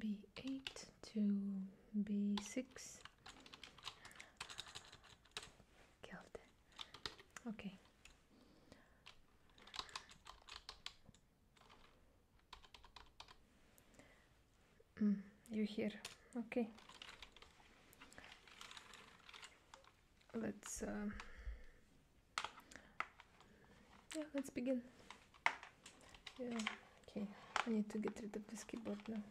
b8 to b6 killed it. Okay. Mm, you're here. Okay. Let's uh, yeah, let's begin. Yeah. Okay. I need to get rid of this keyboard now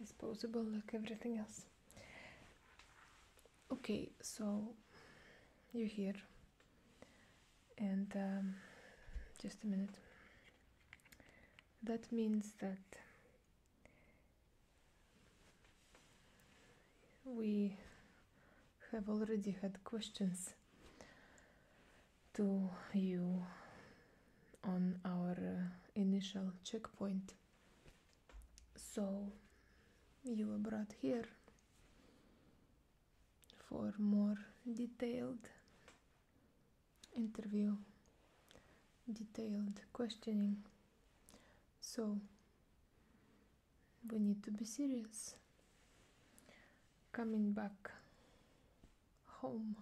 disposable like everything else okay so you're here and um, just a minute that means that we have already had questions to you on our uh, initial checkpoint. So you were brought here for more detailed interview, detailed questioning. So we need to be serious. Coming back home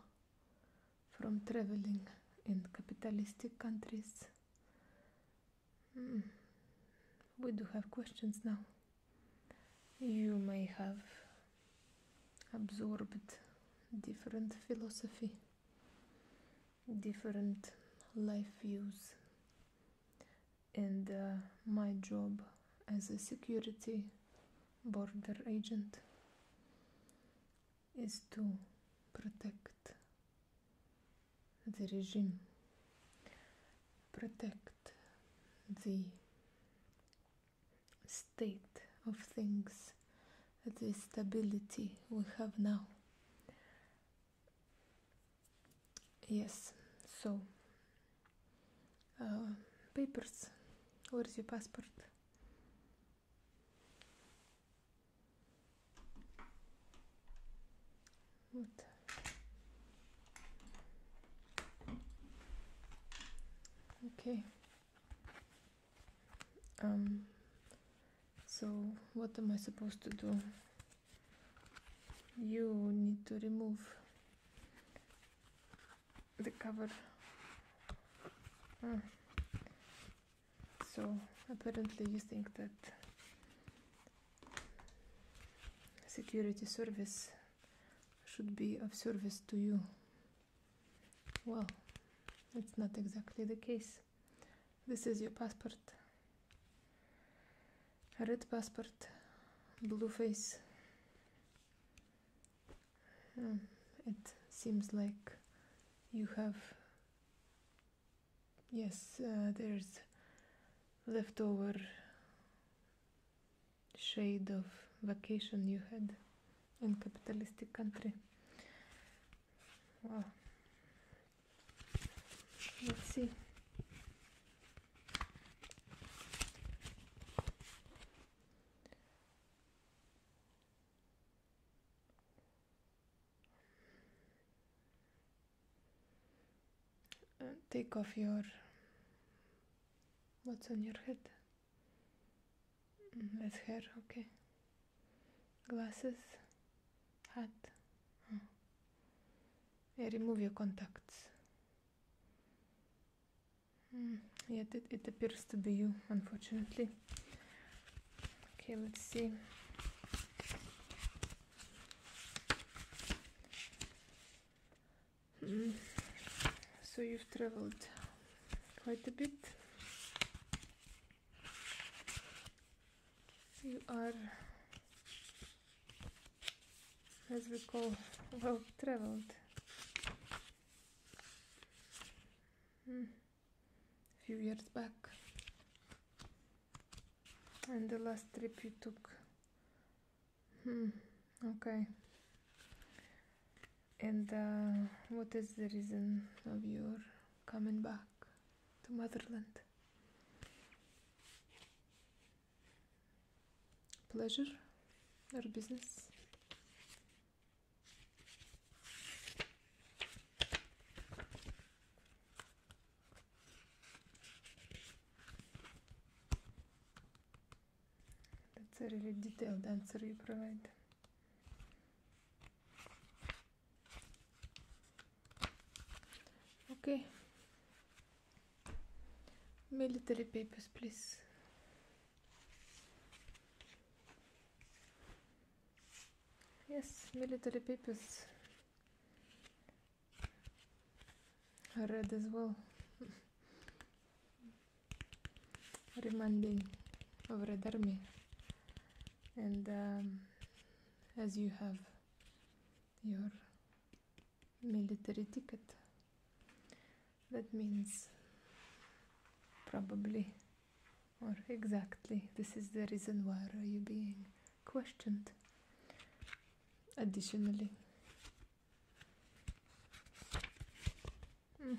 from traveling in capitalistic countries. Hmm. We do have questions now. You may have absorbed different philosophy, different life views, and uh, my job as a security border agent is to protect the regime, protect the state of things, the stability we have now. Yes, so uh, papers, where's your passport? Okay. Um, so what am I supposed to do? You need to remove the cover ah. so apparently you think that security service should be of service to you well that's not exactly the case this is your passport red passport blue face Hmm, it seems like you have. Yes, uh, there's leftover shade of vacation you had in capitalistic country. Wow. Let's see. And uh, take off your what's on your head. Mm, Let's hear. okay. Glasses, hat. Oh. remove your contacts. Mm, yet it, it appears to be you, unfortunately. Okay, let's see. Hmm. So you've traveled quite a bit. You are, as we call, well traveled. Hmm few years back and the last trip you took hmm okay and uh, what is the reason of your coming back to motherland pleasure or business that's a really detailed answer you provide. Okay. Military papers, please. Yes, military papers are read as well. Reminding of Red Army, and um, as you have your military ticket, that means probably or exactly this is the reason why are you being questioned additionally hmm.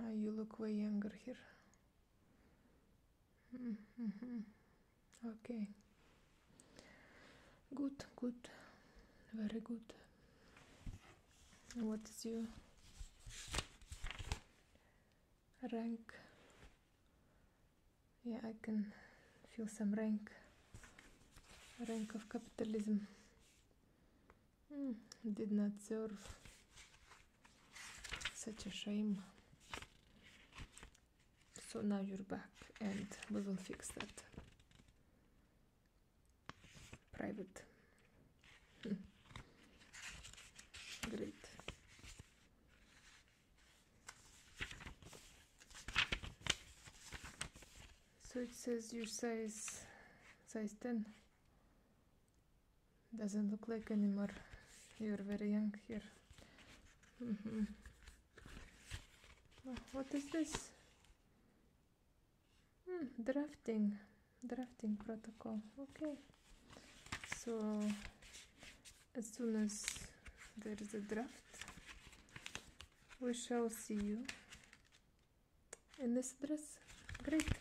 ah, you look way younger here hmm, hmm, okay good good very good and what is your rank yeah I can feel some rank rank of capitalism mm, did not serve such a shame so now you're back and we will fix that private great so it says your size size 10 doesn't look like anymore you're very young here mm-hmm. what is this drafting drafting protocol okay so as soon as there is a draft we shall see you in this dress great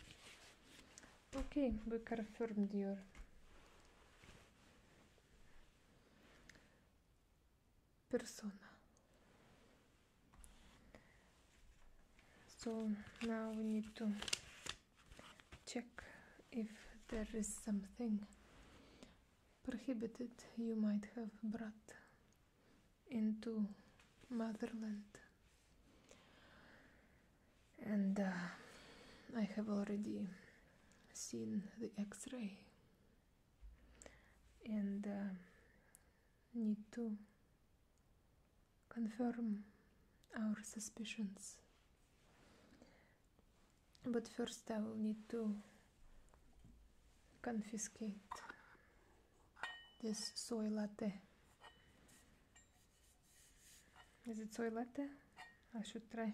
okay we confirm your persona so now we need to check if there is something prohibited you might have brought into motherland and uh, I have already seen the x-ray and uh, need to confirm our suspicions. But first, I will need to confiscate this soy latte. Is it soy latte? I should try.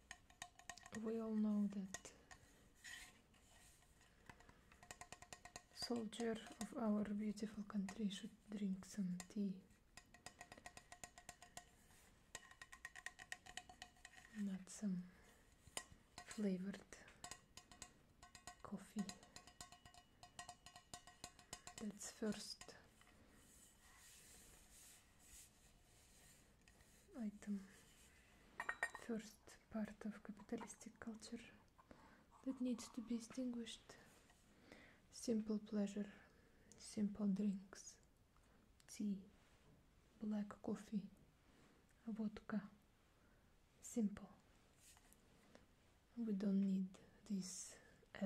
we all know that soldier of our beautiful country should drink some tea not some flavored coffee that's first item first part of capitalistic culture that needs to be distinguished: simple pleasure simple drinks tea black coffee vodka simple we don't need these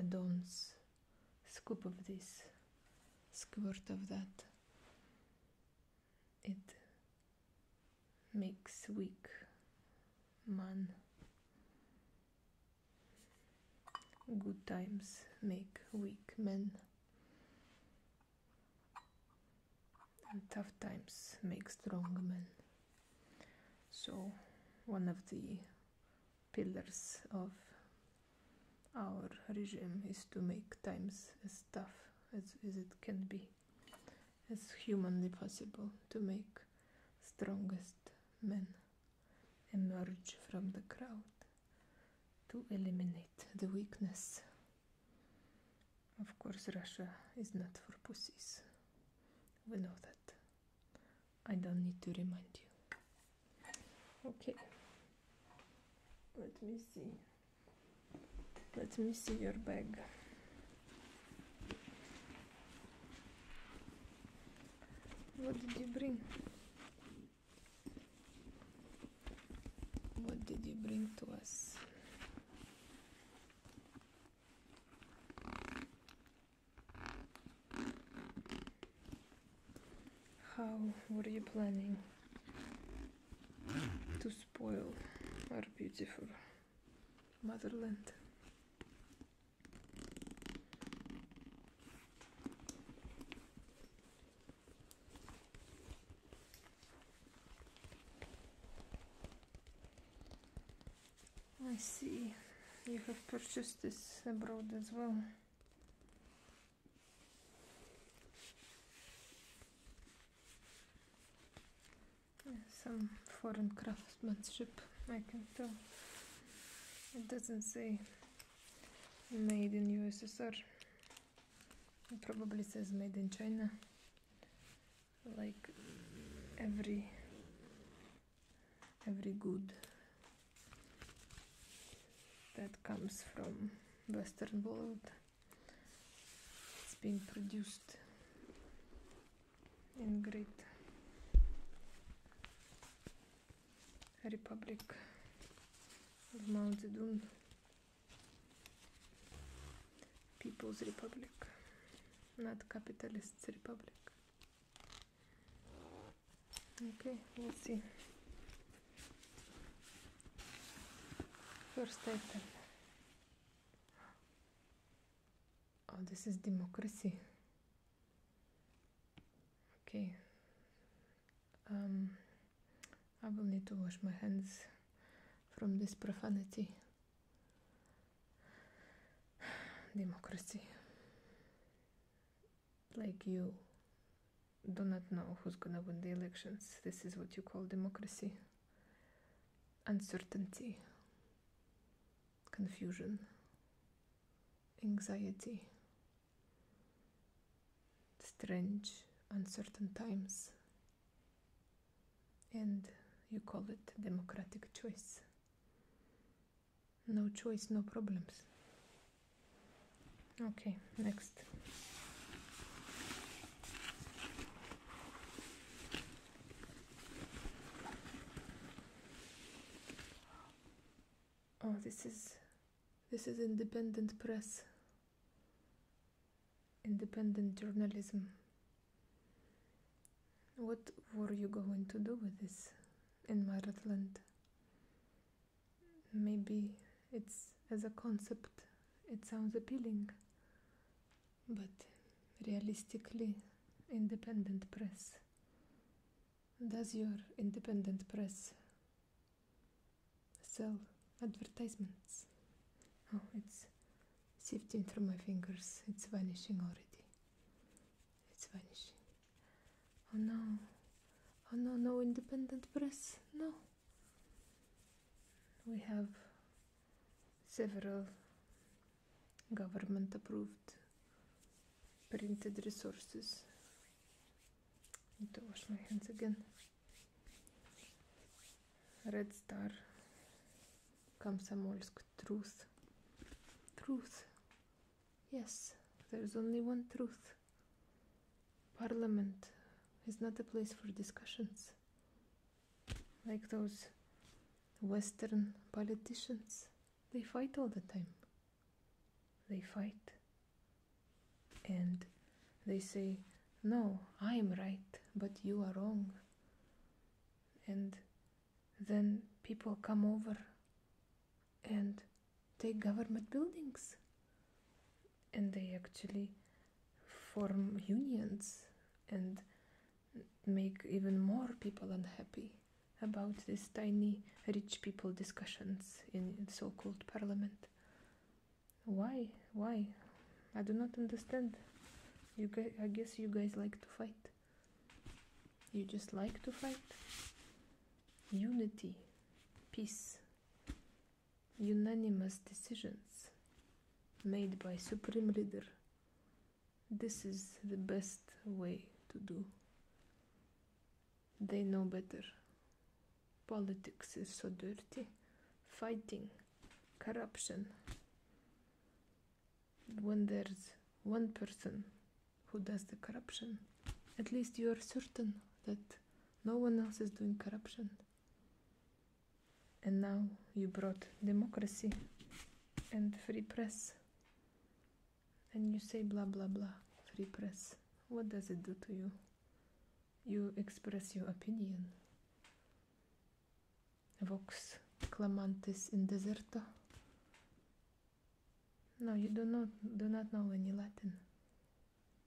add-ons scoop of this squirt of that it makes weak man. Good times make weak men, and tough times make strong men. So, one of the pillars of our regime is to make times as tough as, as it can be, as humanly possible, to make strongest men emerge from the crowd, to eliminate the weakness. Of course, Russia is not for pussies. We know that. I don't need to remind you. Okay. Let me see. Let me see your bag. What did you bring? What did you bring to us? How? What are you planning? to spoil our beautiful motherland. I see you have purchased this abroad as well. Some foreign craftsmanship, I can tell. It doesn't say made in USSR. probably says made in China. Like every every good that comes from Western world. It's been produced in great Republic of Mao Zedong People's Republic, not capitalist Republic. Okay, let's see. First item. Oh, this is democracy. Okay. Um, I will need to wash my hands from this profanity. Democracy. Like you do not know who's gonna win the elections. This is what you call democracy. Uncertainty, confusion, anxiety, strange, uncertain times, and you call it democratic choice. No choice, no problems okay next oh this is this is independent press independent journalism what were you going to do with this in Maratland? maybe it's as a concept it sounds appealing but realistically independent press does your independent press sell advertisements oh it's sifting through my fingers it's vanishing already it's vanishing oh no oh no no independent press no we have several government approved printed resources. I Need to wash my hands again. Red Star, Komsomolsk, Truth. Truth. Yes, there's only one truth. Parliament is not a place for discussions like those Western politicians. They fight all the time. They fight. And they say, No, I'm right, but you are wrong. And then people come over and take government buildings and they actually form unions and make even more people unhappy about these tiny rich people discussions in, so-called parliament why why i do not understand you guys i guess you guys like to fight you just like to fight unity peace unanimous decisions made by supreme leader this is the best way to do they know better politics is so dirty fighting corruption when there's one person who does the corruption at least you are certain that no one else is doing corruption and now you brought democracy and free press. And you say blah blah blah, free press. What does it do to you? You express your opinion. Vox clamantis in deserto. No, you do not do not know any Latin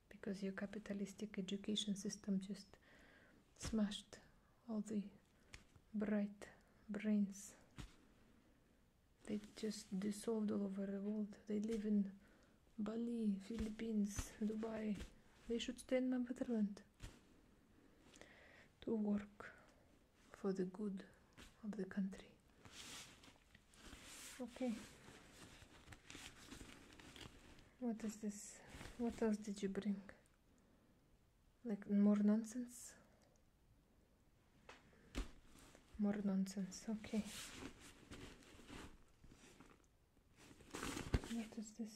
because your capitalistic education system just smashed all the bright brains. They just dissolved all over the world. They live in Bali, Philippines, Dubai. They should stay in my motherland to work for the good of the country. Okay. What is this? What else did you bring? Like more nonsense? More nonsense, okay. What is this?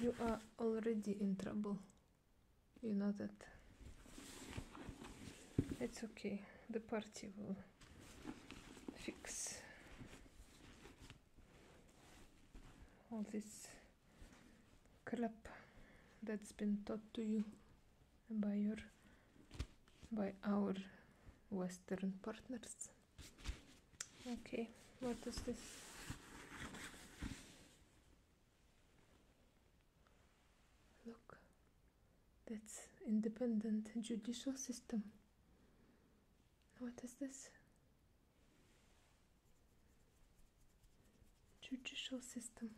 You are already in trouble. You know that. It's okay. The party will fix all this crap that's been taught to you by your by our western partners okay what is this look that's independent judicial system what is this? Judicial system.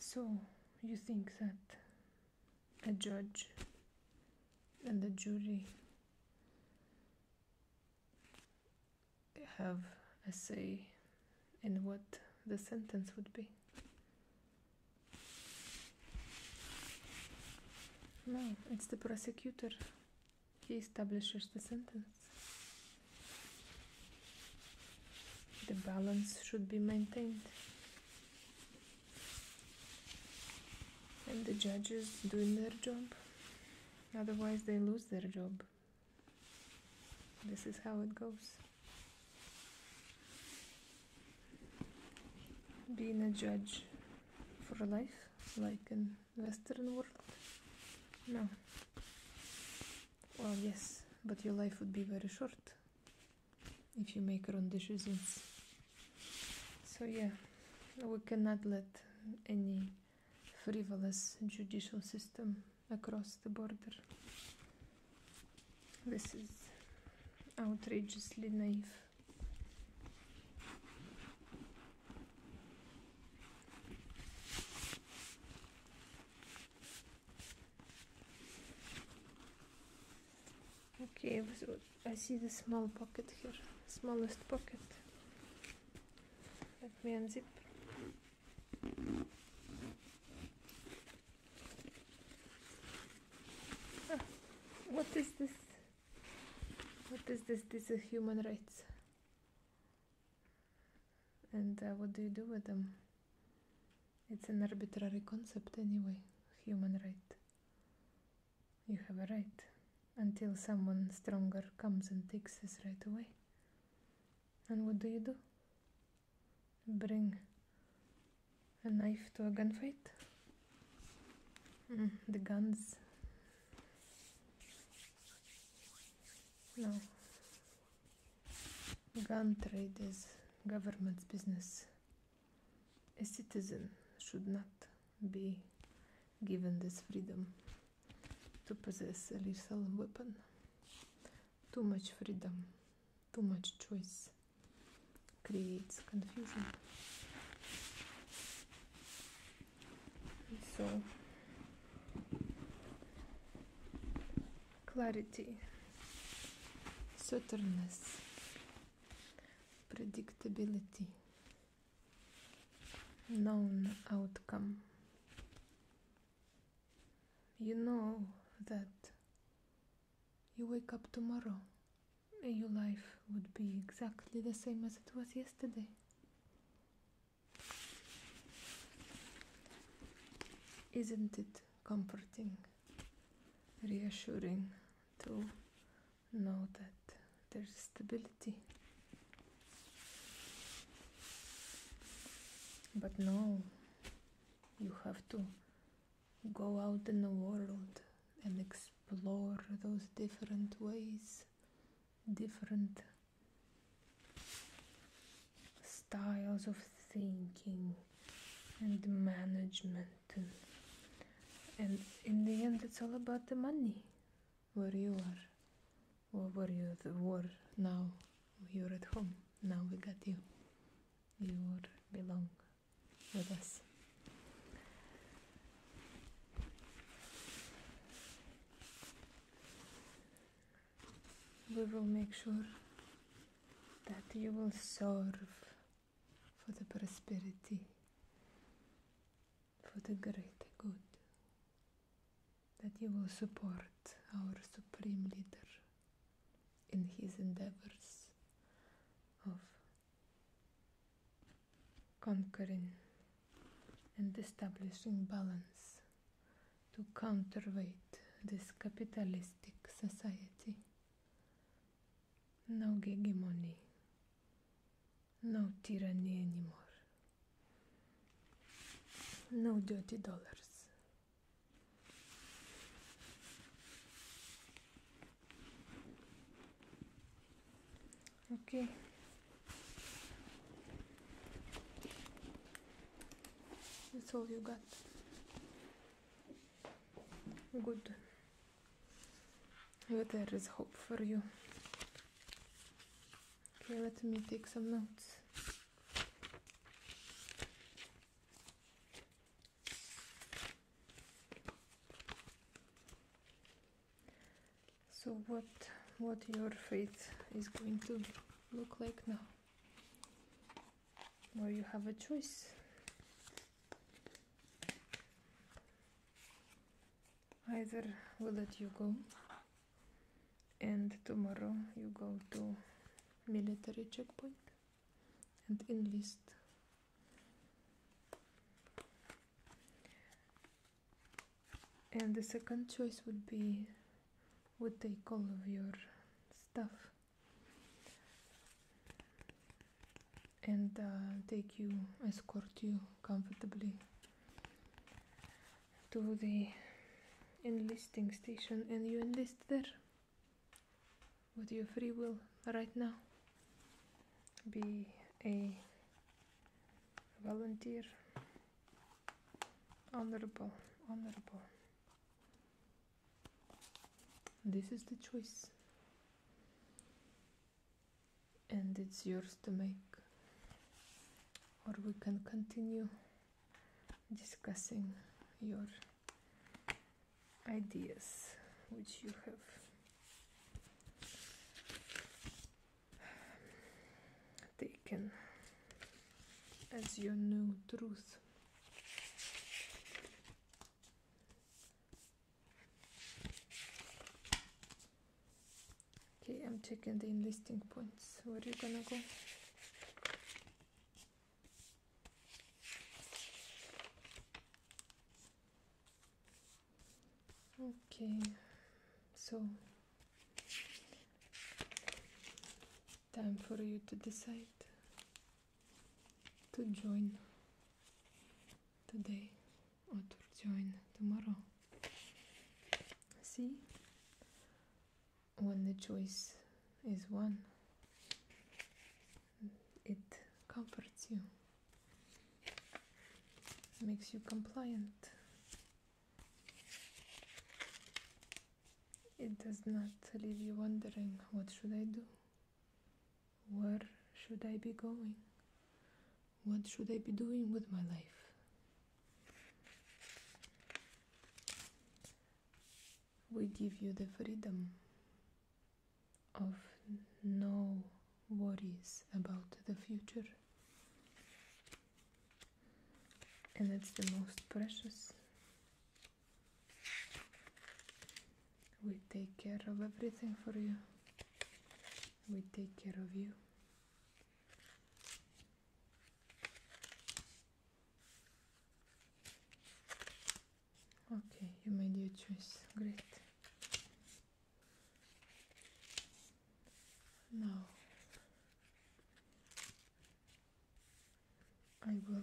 So, you think that a judge and a jury have a say in what the sentence would be. No, it's the prosecutor. He establishes the sentence. The balance should be maintained and the judges doing their job otherwise they lose their job this is how it goes being a judge for life like in western world no well yes but your life would be very short if you make your own decisions so yeah, we cannot let any frivolous judicial system across the border. This is outrageously naive. Okay, I see the small pocket here, smallest pocket. Let me unzip. Ah, what is this? What is this? This is human rights. And uh, what do you do with them? It's an arbitrary concept anyway, human right. You have a right until someone stronger comes and takes this right away. And what do you do? Bring a knife to a gunfight? Mm, the guns. No. Gun trade is government's business. A citizen should not be given this freedom to possess a lethal weapon. Too much freedom, too much choice creates confusion. So, clarity, certainness, predictability. known outcome. You know that you wake up tomorrow, and your life would be exactly the same as it was yesterday. Isn't it comforting, reassuring too know that there's stability. But no, you have to go out in the world and explore those different ways, different styles of thinking and management. And, and in the end, it's all about the money where you are where were you were now you're at home now we got you you belong with us we will make sure that you will serve for the prosperity for the greater good, that you will support our Supreme Leader in his endeavors of conquering and establishing balance to counterweight this capitalistic society. No hegemony no tyranny anymore. No dirty dollars. Okay. That's all you got. Good there is hope for you. Okay, let me take some notes. So what what your fate is going to look like now? Where you have a choice either we let you go and tomorrow you go to military checkpoint and enlist and the second choice would be we take all of your stuff and uh, take you, escort you comfortably to the enlisting station and you enlist there with your free will right now. Be a volunteer, honorable, honorable. This is the choice and it's yours to make or we can continue discussing your ideas which you have taken as your new truth Okay, I'm checking the enlisting points. Where are you gonna go? Okay, so time for you to decide to join today or to join tomorrow. See? When the choice is one, it comforts you, makes you compliant. It does not leave you wondering what should I do? Where should I be going? What should I be doing with my life? We give you the freedom of no worries about the future. And it's the most precious. We take care of everything for you we take care of you. Okay, you made your choice. Great. Now I will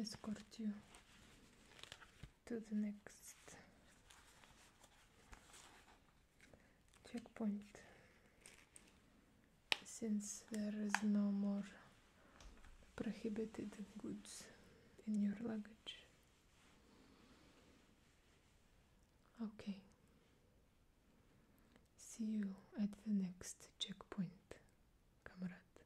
escort you to the next checkpoint since there is no more prohibited goods in your luggage. Okay. See you at the next checkpoint, comrade.